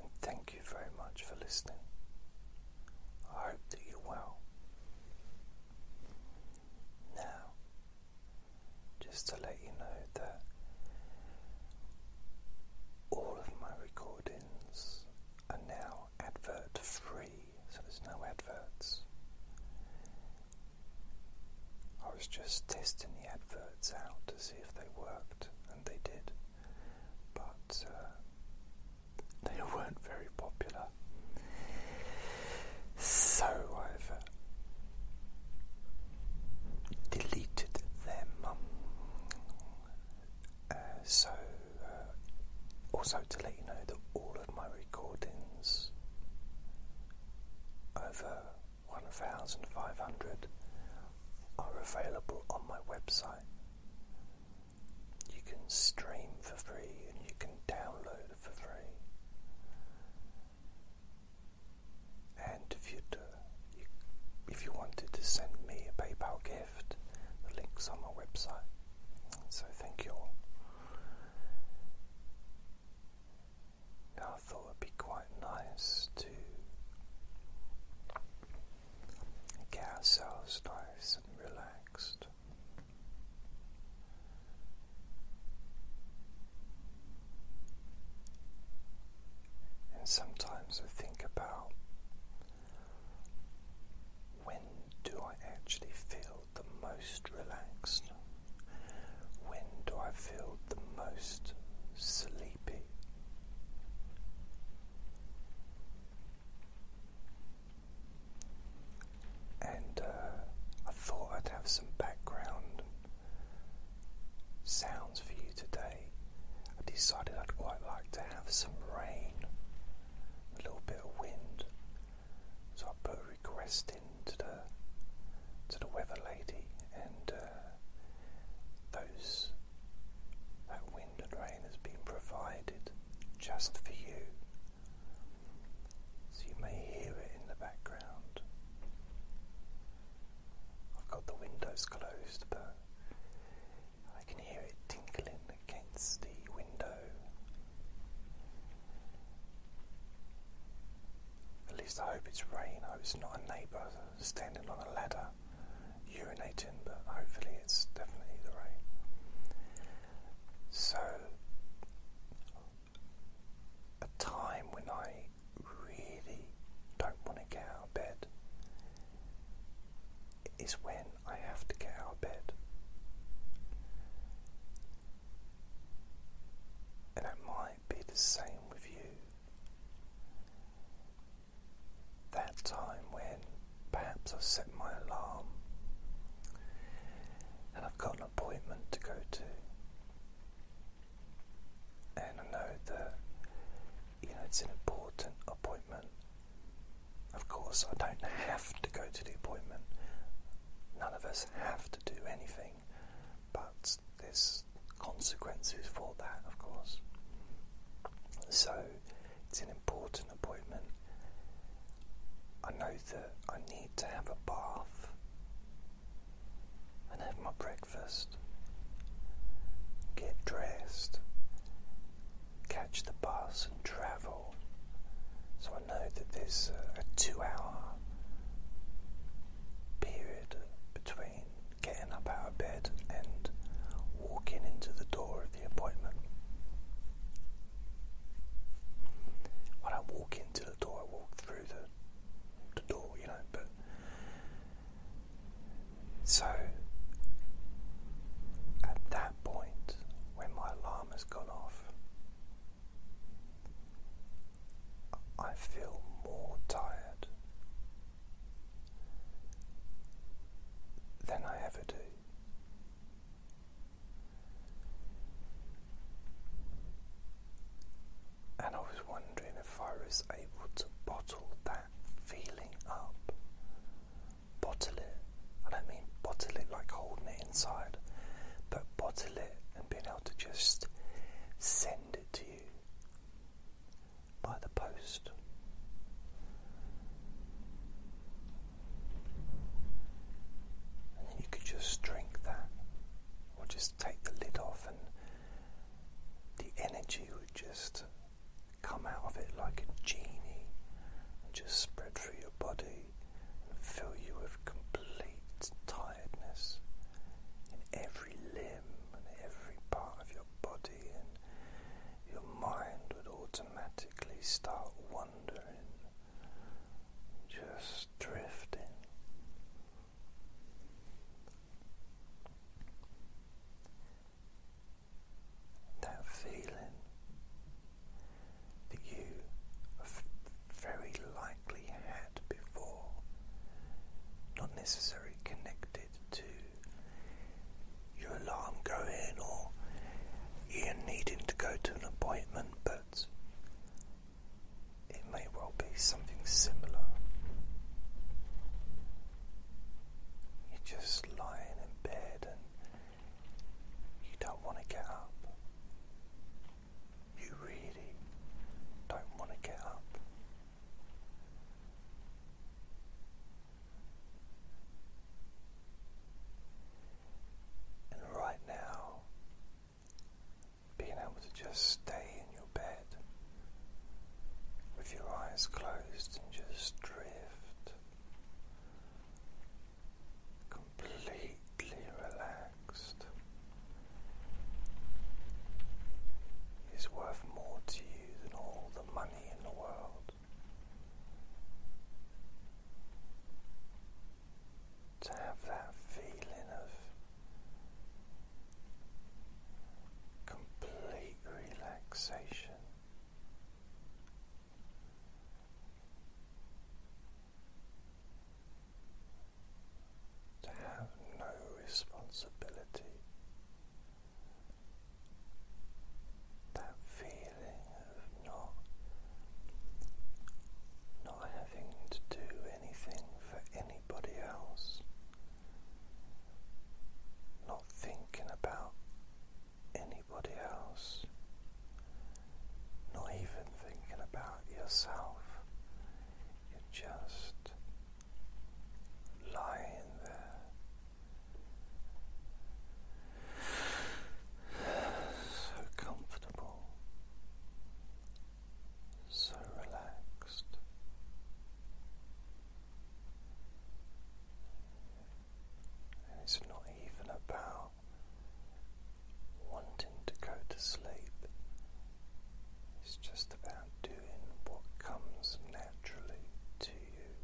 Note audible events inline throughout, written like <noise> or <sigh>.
and thank you very much for listening. I hope that you're well. Now, just to let you know that all of my recordings are now advert free, so there's no adverts. I was just testing the adverts out to see if they worked they did, but uh, they <laughs> weren't very popular. So I've uh, deleted them. Uh, so, also to let you know that all of my recordings over 1,500 are available on my website. You can stream for free and you can download for free. And if uh, you do, if you wanted to send me a PayPal gift, the link's on my website. So thank you all. I thought would be quite nice to and get ourselves nice and relaxed. And sometimes I think about when do I actually feel the most relaxed? When do I feel the most sleepy? And uh, I thought I'd have some background sounds for you today. I decided I'd quite like to have some rain, a little bit of wind. So I put a request into the to the weather lady, and uh, those that wind and rain has been provided just for you. So you may hear it in the background. I've got the windows closed, but I can hear it tinkling against the window. At least I hope it's rain. I hope it's not a neighbour standing on a ladder, urinating, but hopefully it's definitely the right. So, a time when I really don't want to get out of bed is when I have to get out of bed. And it might be the same with you that time when perhaps I've set my alarm and I've got an appointment to go to. And I know that you know it's an important appointment. Of course, I don't have to go to the appointment. None of us have to do anything, but this consequences for that, of course. So it's an important appointment. I know that I need to have a bath and have my breakfast, get dressed, catch the bus and travel. So I know that there's a two hour period between getting up out of bed and walking into the door of the appointment. When I walk into the door, I walk through the, the door, you know, but. So, at that point, when my alarm has gone off, I feel more tired than I ever do. And I was wondering if I was able to bottle that feeling up. Bottle it. I don't mean bottle it like holding it inside, but bottle it and being able to just send it to you by the post. And you could just drink that, or just take the lid off, and the energy would just come out of it like a genie and just spread through your body and fill you with complete tiredness in every limb and every part of your body and your mind would automatically start wandering, just drifting. That feeling that you very likely before, not necessarily connected to your alarm going or you needing to go to an appointment, but it may well be something similar. You're just lying in bed and you don't want to get up. You really don't want to get up. And right now, being able to just stay in your bed with your eyes closed and just drift completely relaxed is worth more to you than all the money in the world. To have that feeling of complete relaxation to have no responsibility. That feeling of not not having to do anything for anybody else, not thinking about anybody else, not even thinking about yourself. you just Lie in there, so comfortable, so relaxed. it's not even about wanting to go to sleep, it's just about doing what comes naturally to you.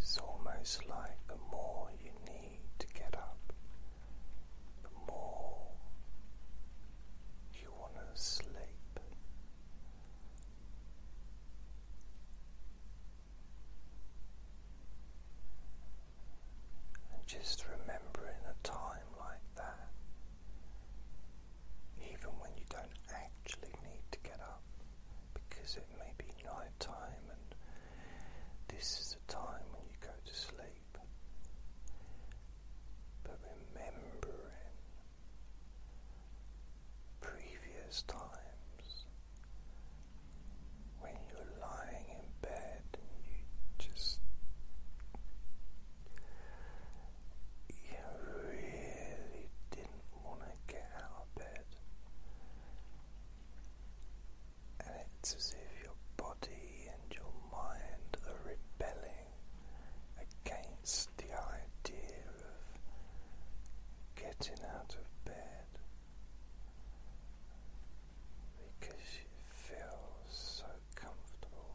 It's almost like the more you need to get up, the more you want to sleep. And just remembering a time like that, even when you don't actually need to get up because it may be night time and this is the time when you go to sleep, but remembering previous times when you're lying in bed you just you really didn't want to get out of bed. And it's as if your body and your mind are rebelling against the idea of getting out of bed because you feel so comfortable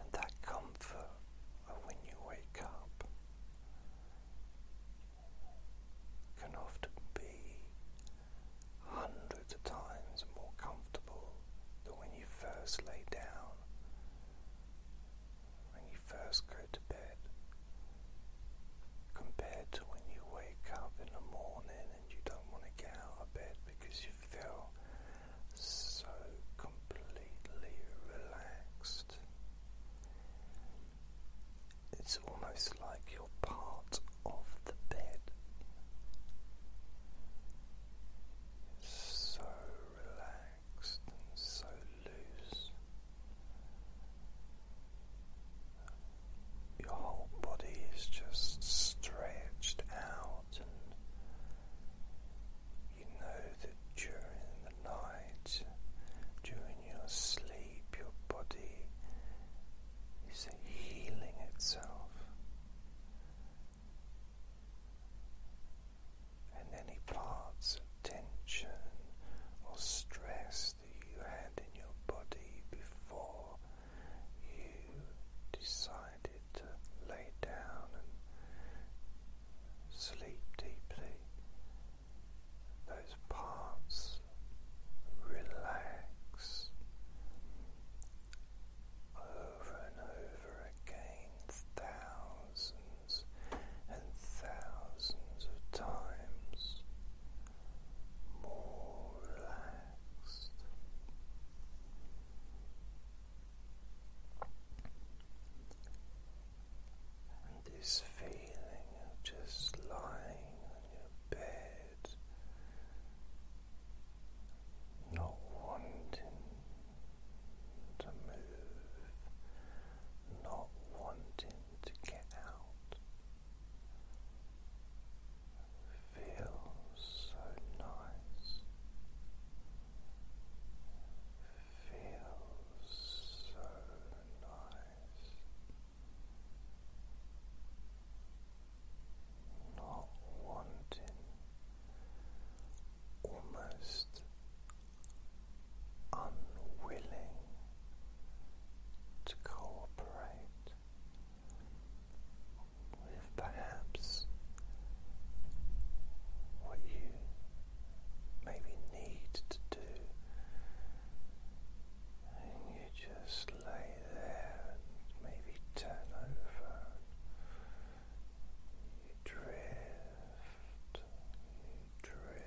and that comfort when you wake up can often be hundreds of times more comfortable than when you first lay down when you first go to bed compared to when you wake up in the morning and you don't want to get out of bed because you feel so completely relaxed. It's almost like you're part of the bed. so relaxed and so loose. Your whole body is just stretched out, you know that during the night, during your sleep, your body is healing itself. And any parts tension or stress that you had in your body before you decided to lay down and sleep deeply. Those parts relax over and over again, thousands thousands and thousands of times more relaxed. And this feeling of just lying on your bed, not wanting to move, not wanting to get out feels so nice, feels so nice. Not wanting, almost unwilling to cooperate with perhaps what you maybe need to do, and you just lay there maybe turn over. You drift you drift.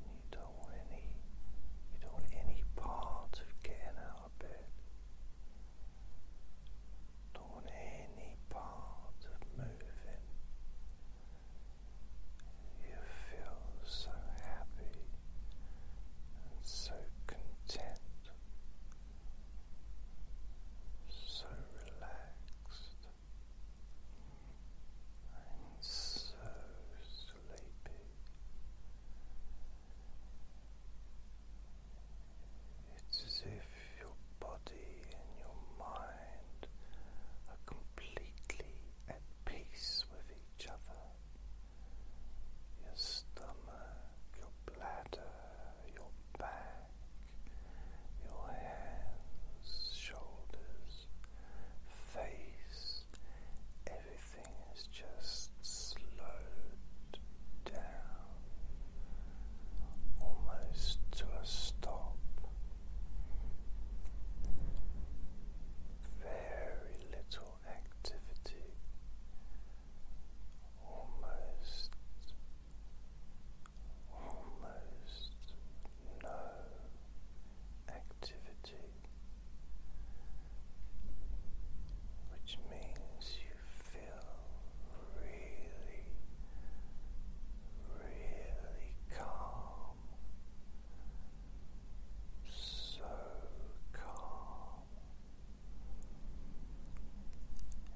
You don't want any you don't want any part of getting out of bed. Don't want any part of moving. You feel so happy and so content, so relaxed and so sleepy. It's as if your body and your mind are completely at peace with each other. Your stomach, your bladder, your back, your hands, shoulders, face, everything is just slowed down almost to a stop. Very little activity, almost almost no activity, which means you feel really, really calm. So calm,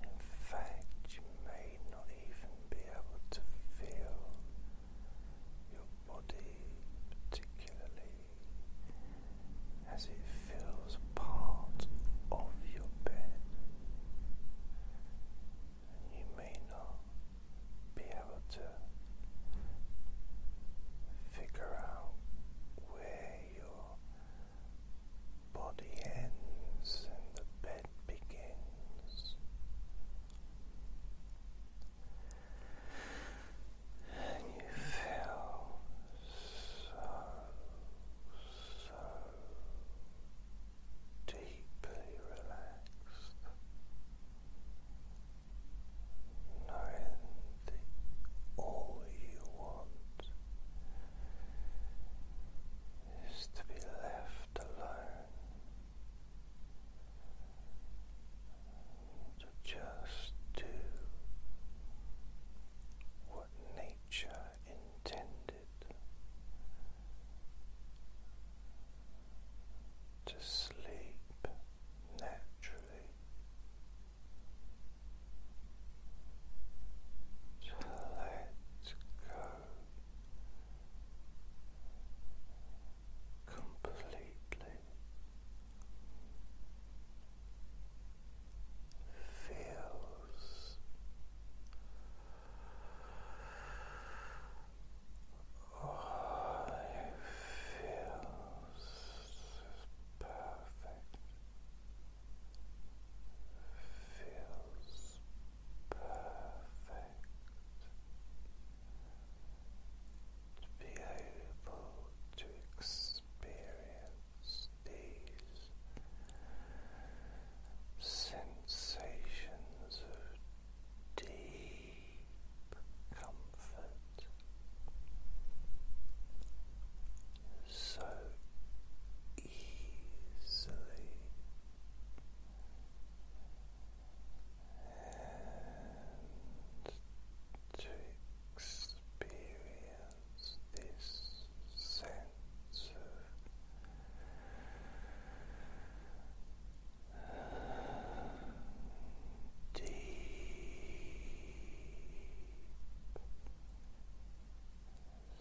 in fact, you may not even be able to feel your body particularly as it feels part of your bed, you may not be able to figure out where your body ends and the bed begins. And you feel so, so deeply relaxed, knowing all you want is to be left alone, to just do what nature intended to sleep naturally to let go completely. Feels oh, it feels perfect feels perfect to be able to experience these sensations of deep comfort so easily. And to experience this sense of deep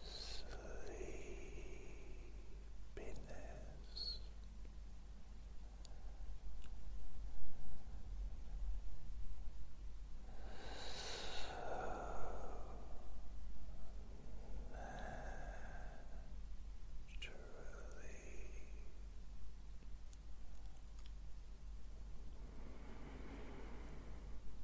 sleepiness. So naturally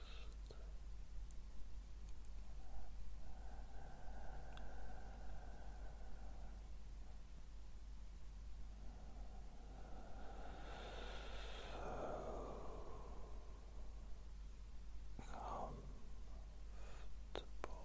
So comfortable.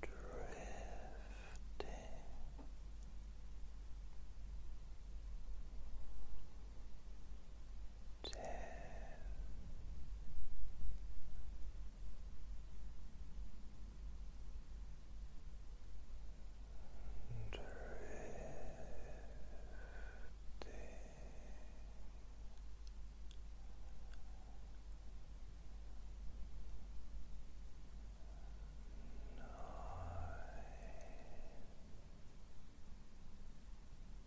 Drifting. Ten Drifting nine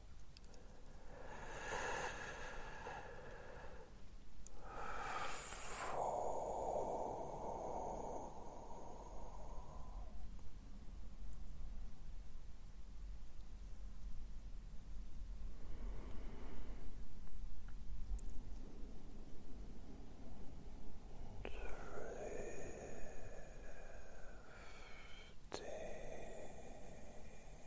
Four. Drifting.